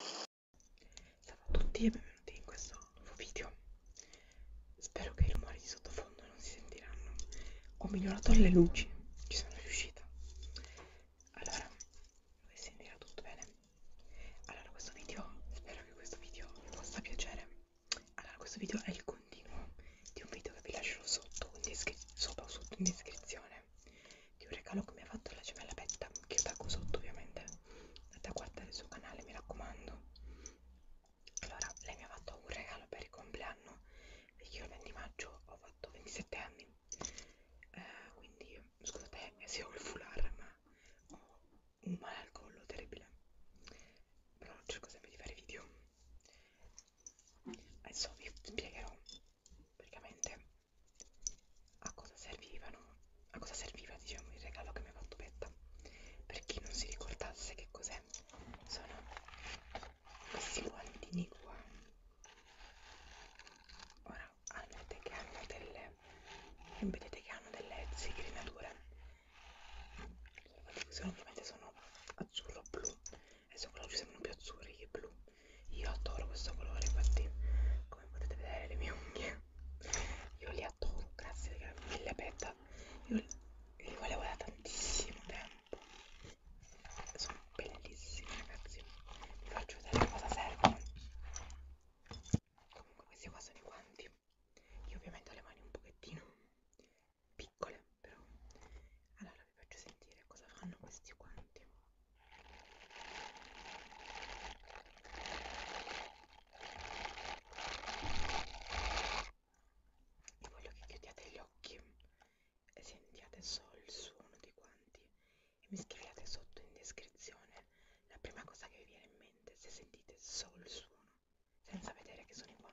Ciao a tutti e benvenuti in questo nuovo video. Spero che i rumori di sottofondo non si sentiranno. Ho migliorato le luci, ci sono riuscita. Allora, dovete sentire tutto bene. Allora, questo video, spero che questo video vi possa piacere. Allora, questo video è il continuo di un video che vi lascerò sotto, in sopra o sotto in descrizione collezione di un regalo che mi ha fatto la gemella Betta che io taggo sotto ovviamente andate a guardare il suo canale mi raccomando allora lei mi ha fatto un regalo per il compleanno perché io il 20 maggio ho fatto 27 anni eh, quindi scusate se ho il foulard ma ho un male al collo terribile però cerco sempre di fare video adesso vi spiegherò praticamente a cosa servivano a cosa serviva diciamo il regalo che mi ha fatto Betta per chi non si ricordasse che cos'è sono questi guantini qua ora ah, vedete che hanno delle vedete che hanno delle zigrinature sono ovviamente sono azzurro blu adesso quello ci sembrano più azzurri che blu io adoro questo colore infatti come potete vedere le mie unghie io li adoro grazie mille Petta io li, li volevo da tantissimo tempo sono bellissimi ragazzi vi faccio vedere cosa servono comunque questi qua sono i guanti io ovviamente ho le mani un pochettino piccole però allora vi faccio sentire cosa fanno questi guanti e voglio che chiudiate gli occhi e sentiate solo il suono di quanti e mi scriviate sotto in descrizione la prima cosa che vi viene in mente se sentite solo il suono senza vedere che sono i guanti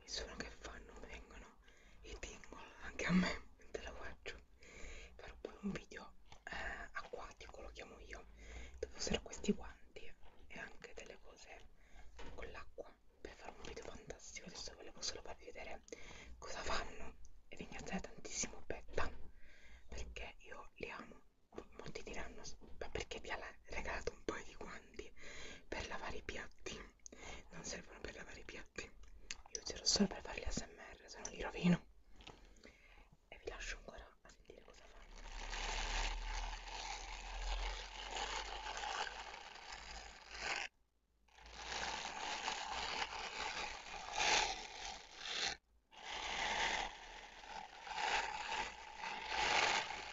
mi sono che fanno vengono i tingle anche a me mentre la faccio farò poi un video eh, acquatico lo chiamo io dove userò questi guanti e anche delle cose con l'acqua per fare un video fantastico adesso volevo solo farvi vedere cosa fanno e ringraziare tantissimo Betta perché io li amo molti diranno ma perché vi ha regalato un paio di guanti per lavare i piatti non servono per lavare i piatti io userò solo per fare l'ASMR se no li rovino e vi lascio ancora a sentire cosa fanno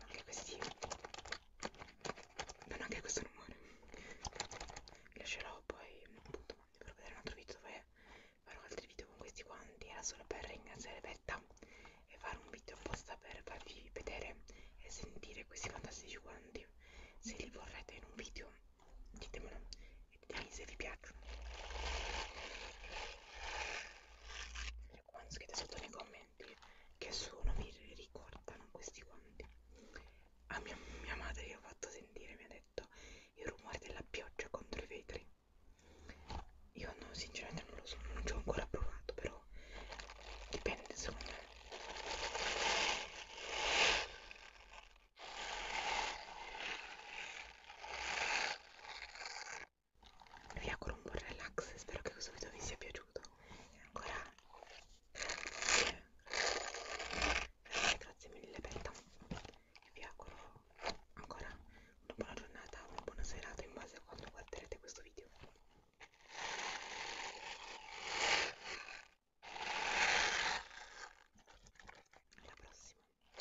anche questi danno anche questo rumore vi lascerò poi appunto per vedere un altro video dove farò altri video con questi guanti era solo per ringraziare Vetta e fare un video apposta per farvi vedere e sentire questi fantastici guanti se li vorrete in un video ditemelo e ditemi se vi piacciono le quanti scrivete sotto nei commenti che sono mi ricordano questi quanti a mia, mia madre gli ho fatto sentire mi ha detto il rumore della pioggia contro i vetri io no, sinceramente non lo so non ci ho ancora provato però dipende secondo me vi auguro un buon relax spero che questo video vi sia piaciuto e ancora grazie mille Betta e vi auguro ancora una buona giornata una buona serata in base a quando guarderete questo video alla prossima